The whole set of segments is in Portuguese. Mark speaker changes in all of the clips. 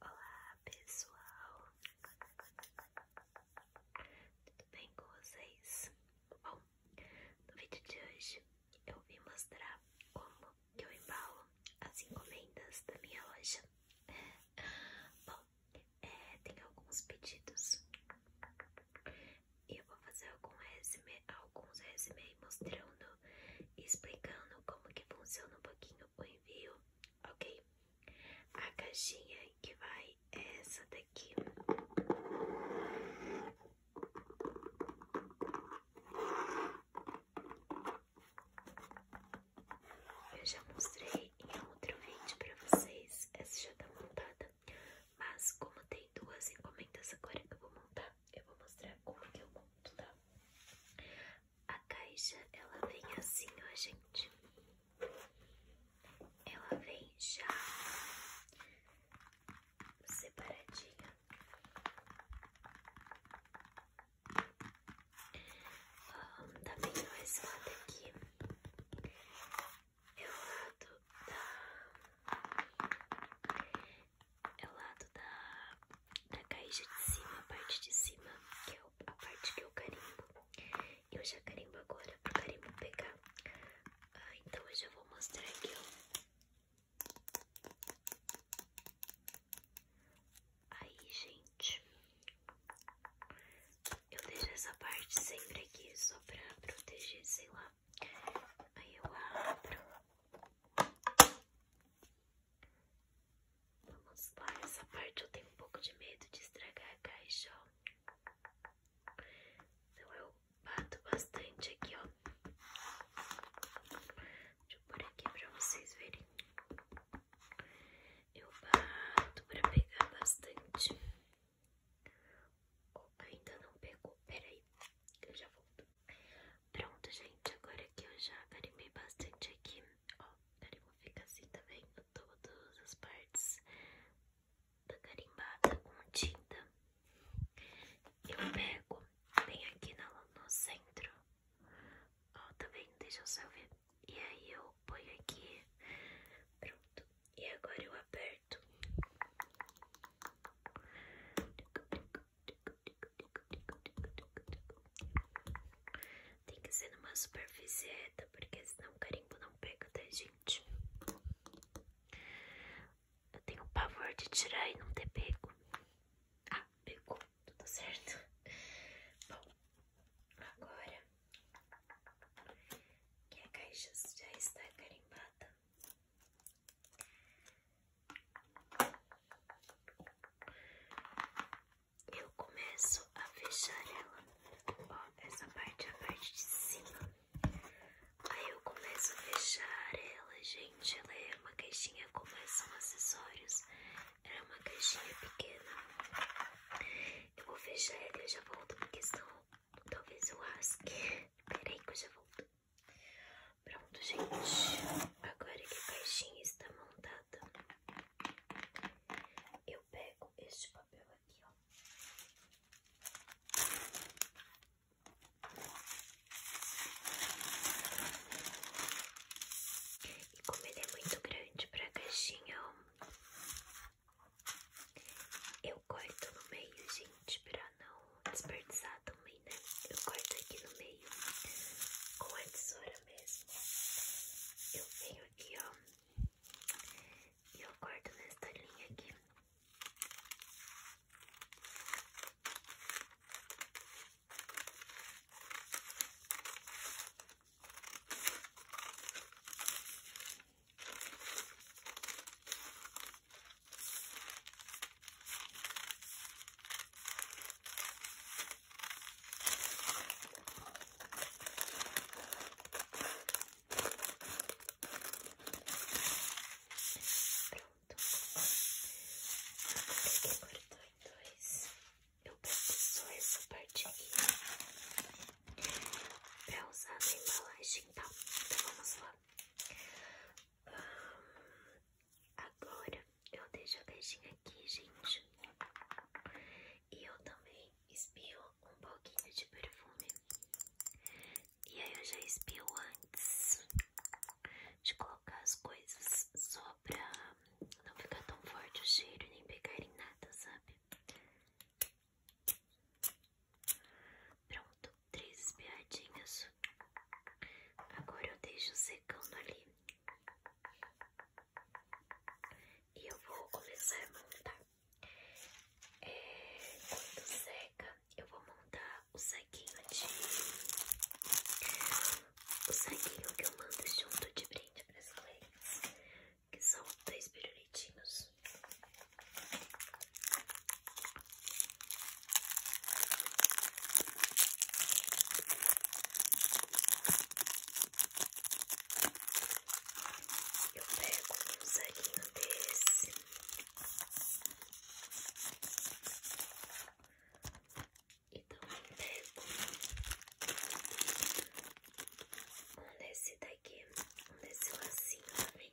Speaker 1: Olá pessoal, tudo bem com vocês? Bom, no vídeo de hoje eu vim mostrar como que eu embalo as encomendas da minha loja. Bom, é, tem alguns pedidos e eu vou fazer algum resume, alguns resumes mostrando e explicando como que funciona um pouquinho o envio ok? A caixinha que vai é essa daqui. Eu já mostrei em outro vídeo pra vocês, essa já tá montada, mas como tem duas encomendas agora que eu vou montar, eu vou mostrar como que eu monto, tá? A caixa, ela vem assim, ó, gente. Ela vem já separadinha. Um, também ó, tá esse lado aqui é o lado da é o lado da, da caixa de cima, a parte de cima, que é a parte que eu carimbo. Eu já carimbo agora pro carimbo pegar. Ah, então eu já vou mostrar aqui, ó. Aí, gente, eu deixo essa parte sempre aqui só pra proteger, sei lá. Aí eu abro Vamos lá, essa parte eu tenho um pouco de medo de estragar a caixa, ó. Então eu bato bastante aqui, ó. Deixa eu pôr aqui pra vocês verem. Eu bato pra pegar bastante. Oh, ainda não pegou, peraí, eu já volto. Pronto, gente, agora que eu já carimbei bastante aqui, ó, carimbo fica assim, tá vendo? Todas as partes da carimbada com tinta. Eu pego bem aqui no, no centro, ó, tá vendo? Deixa eu só ver. E aí eu ponho aqui, pronto. E agora eu aperto. Tem que ser numa superfície porque senão o carimbo não pega, tá, gente? Eu tenho pavor de tirar e não ter pego. Ah, pegou, tudo tá certo. Bom, agora que a caixa já está carimbada, eu começo a fechar ela, ó, essa parte é a parte de cima. Aí eu começo a fechar ela, gente. Ela é uma caixinha como é, são acessórios. Ela é uma caixinha pequena. Eu vou fechar ela e já volto, porque senão talvez eu rasgue. Peraí que eu já volto. Pronto, gente. Agora que a caixinha está montada, eu pego este papel aqui, ó. E como ele é muito grande para a caixinha, ó, eu corto no meio, gente, para não desperdiçar também, né? Eu corto aqui no meio com a tesoura mesmo. Eu venho aqui, ó, e eu corto nesta linha aqui pronto que cortou em dois, eu pego essa parte aqui pra usar na embalagem, tá? Então vamos lá. Agora eu deixo a caixinha aqui, gente. E eu também espio um pouquinho de perfume. E aí eu já espio antes de colocar as coisas só pra não ficar tão forte o cheiro nem pegar em nada, sabe? Pronto, três espiadinhas. Agora eu deixo secando ali. E eu vou começar a montar. É, quando seca, eu vou montar o saquinho de. O saquinho que eu mando junto de brinde para as clientes. Que são dois pirulitinhos. Eu pego um saquinho desse. E também pego um desse daqui, um desse lacinho também.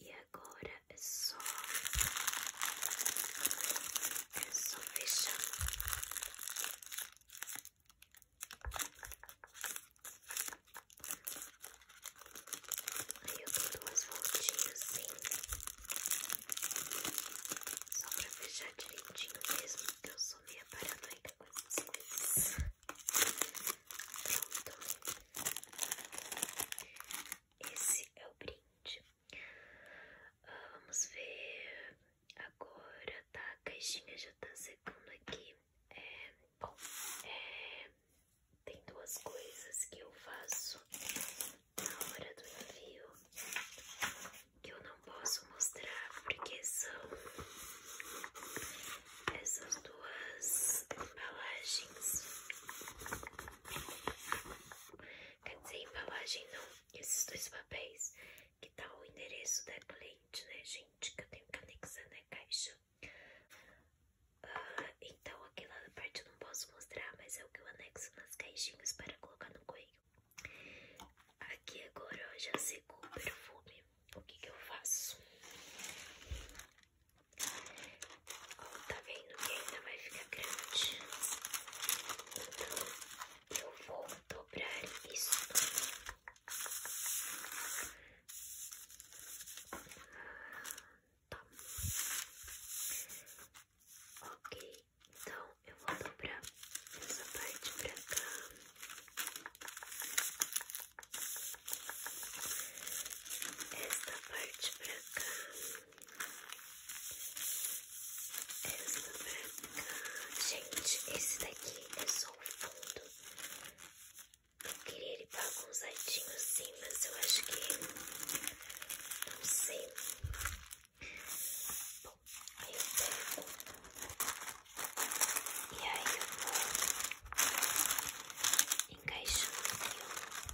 Speaker 1: E agora é só. É só fechar. Aí eu dou duas voltinhas assim. Só pra fechar direitinho mesmo, porque eu sou meio paranoica com essas coisas. Pronto esse é o brinde. vamos ver agora, tá? A caixinha já tá secando aqui. É, bom, é, tem duas coisas que eu faço na hora do envio que eu não posso mostrar porque são essas duas embalagens Quer dizer, embalagem não, esses dois papéis que tá o endereço da cliente, né, gente? Que eu tenho que anexar na caixa. Ah, então, aqui na parte eu não posso mostrar, mas é o que eu anexo nas caixinhas para colocar no coelho. Aqui agora ó, já secou o perfume. O que, que eu faço? tá vendo que ainda vai ficar grande. Então, eu vou dobrar isso. Tá. Ok, então eu vou dobrar essa parte pra cá esta parte pra cá, esta pra cá. Gente, esse daqui é só o fundo. Eu queria ele bagunçadinho assim, mas eu acho que. Não sei. Bom, aí eu pego. E aí eu vou encaixo aqui.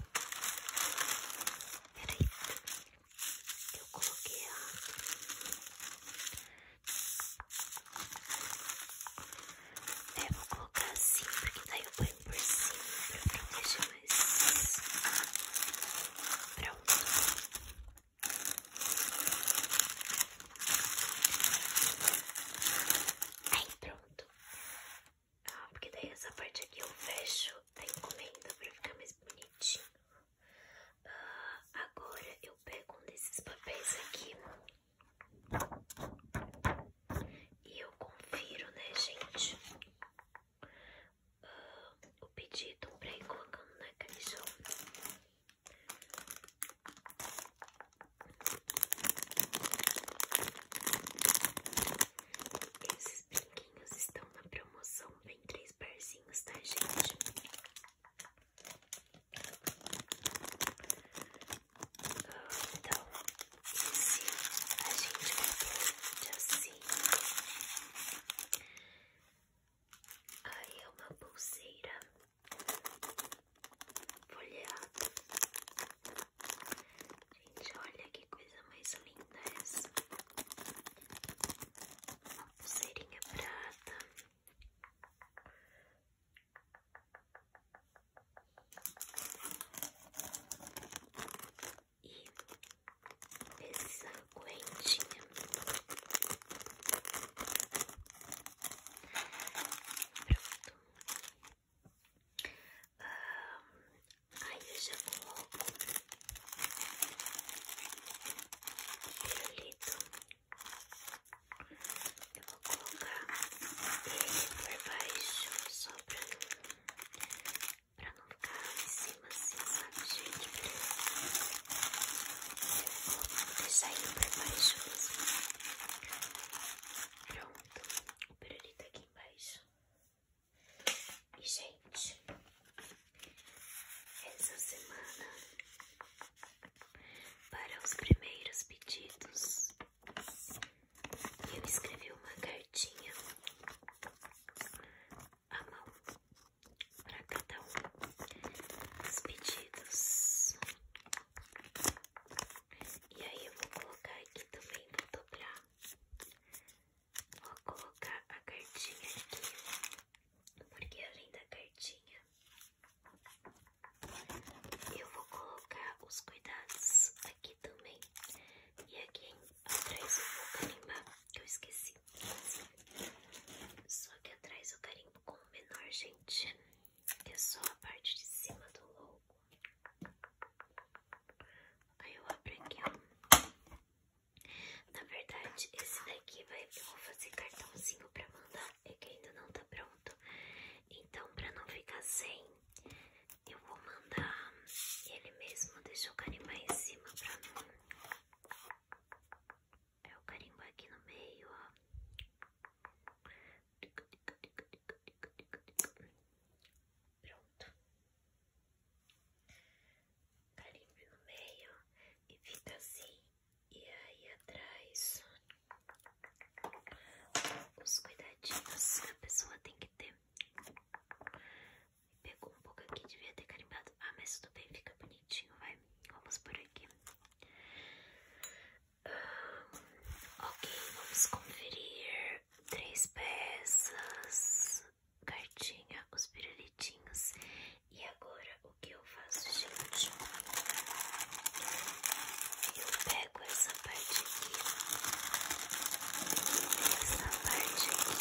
Speaker 1: Peraí, eu coloquei a. É, vou colocar assim, porque daí eu ponho por cima pra proteger mais. Pronto. Aí, pronto. Ah, porque daí essa parte aqui eu fecho a encomenda pra ficar mais bonitinho. Ah, agora eu pego um desses papéis aqui e eu confiro, né, gente? Ah, o pedido pra ir colocando na caixona esses brinquinhos estão na promoção. Vem três parzinhos, tá, gente? Então, esse a gente comprou de assim. Aí é uma pulseira folheado. Gente, olha que coisa mais linda essa. Uma pulseirinha prata. E essa correntinha. Pronto. aí eu já vou o pirulito. Eu vou colocar ele por baixo, só pra, pra não ficar em cima assim, sabe, gente? vou deixar ele por baixo mesmo. Assim. Pronto, o pirulito tá aqui embaixo. E, gente, essa semana, para os primeiros pedidos, eu escrevi uma cartinha à mão para cada um os pedidos. E aí eu vou colocar aqui também, para dobrar. Vou colocar a cartinha aqui, porque além da cartinha, eu vou colocar os cuidados aqui também. E aqui atrás eu vou carimbar, que eu esqueci. Só que atrás eu carimbo com o menor, gente é só a parte de cima do louco. Aí eu abro aqui, ó. Na verdade, esse daqui vai, vou fazer cartãozinho pra mandar, é que ainda não tá pronto. Então, pra não ficar sem, eu vou mandar ele mesmo, deixa eu carimbar em cima pra não... É o carimbo aqui no meio, ó. Pronto. Carimbo no meio e fica assim. E aí atrás, os cuidadinhos que a pessoa tem que ter. Pegou um pouco aqui, devia ter carimbado. Ah, mas tudo bem, fica bonitinho, vai. Vamos por aqui. Ah, ok, vamos conferir três peças, cartinha, os pirulitinhos. E agora o que eu faço, gente? Eu pego essa parte aqui, essa parte aqui.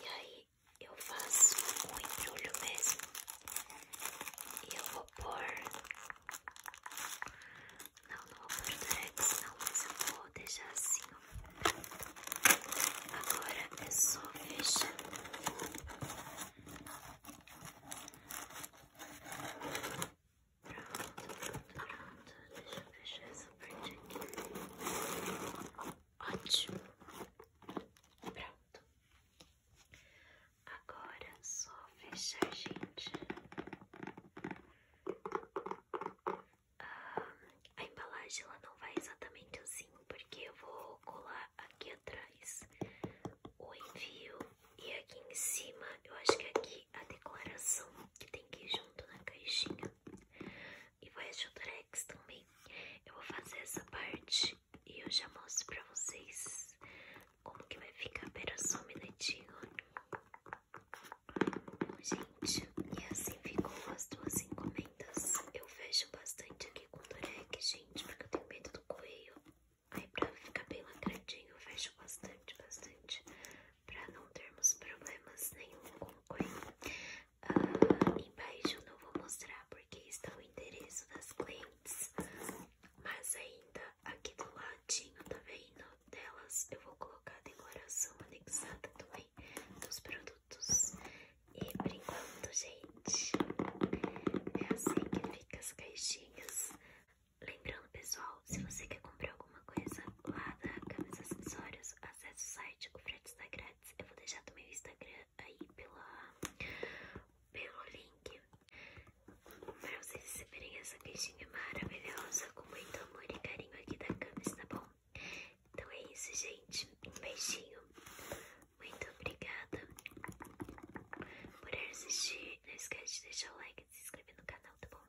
Speaker 1: E aí eu faço um embrulho mesmo e eu vou pôr. Não, não vou pôr Durex, não, mas eu vou deixar assim, ó. Agora é só fechar. Pronto, pronto, pronto. Deixa eu fechar essa parte aqui. Ótimo. Pronto. Agora é só fechar, gente. Ah, a embalagem ela não vai exatamente assim, porque eu vou colar aqui atrás o envio e aqui em cima eu acho que é aqui a declaração que tem que ir junto na caixinha e vai ajudar também. Eu vou fazer essa parte e eu já mostro pra vocês como que vai ficar. Pera só um minutinho. Gente, e assim ficou as duas encomendas. Eu fecho bastante aqui com o durex, gente, porque eu tenho medo do coelho. Aí pra ficar bem lacradinho, eu fecho bastante, bastante, pra não termos problemas nenhum com o coelho. Uh, ah, embaixo não vou mostrar porque está o endereço das clientes, mas ainda aqui do ladinho, tá vendo? Delas eu vou colocar a decoração anexada também dos produtos. E por enquanto, gente, é assim que fica as caixinhas. Lembrando, pessoal, se você quer comprar alguma coisa lá da Camis Acessórios, acesse o site, grátis tá grátis. Eu vou deixar também meu Instagram aí pela, pelo link pra vocês receberem essa caixinha maravilhosa com muito amor e carinho aqui da Camis, tá bom? Então é isso, gente. Um beijinho. Muito obrigada por assistir. Não esquece de deixar o like e se inscrever no canal, tá bom?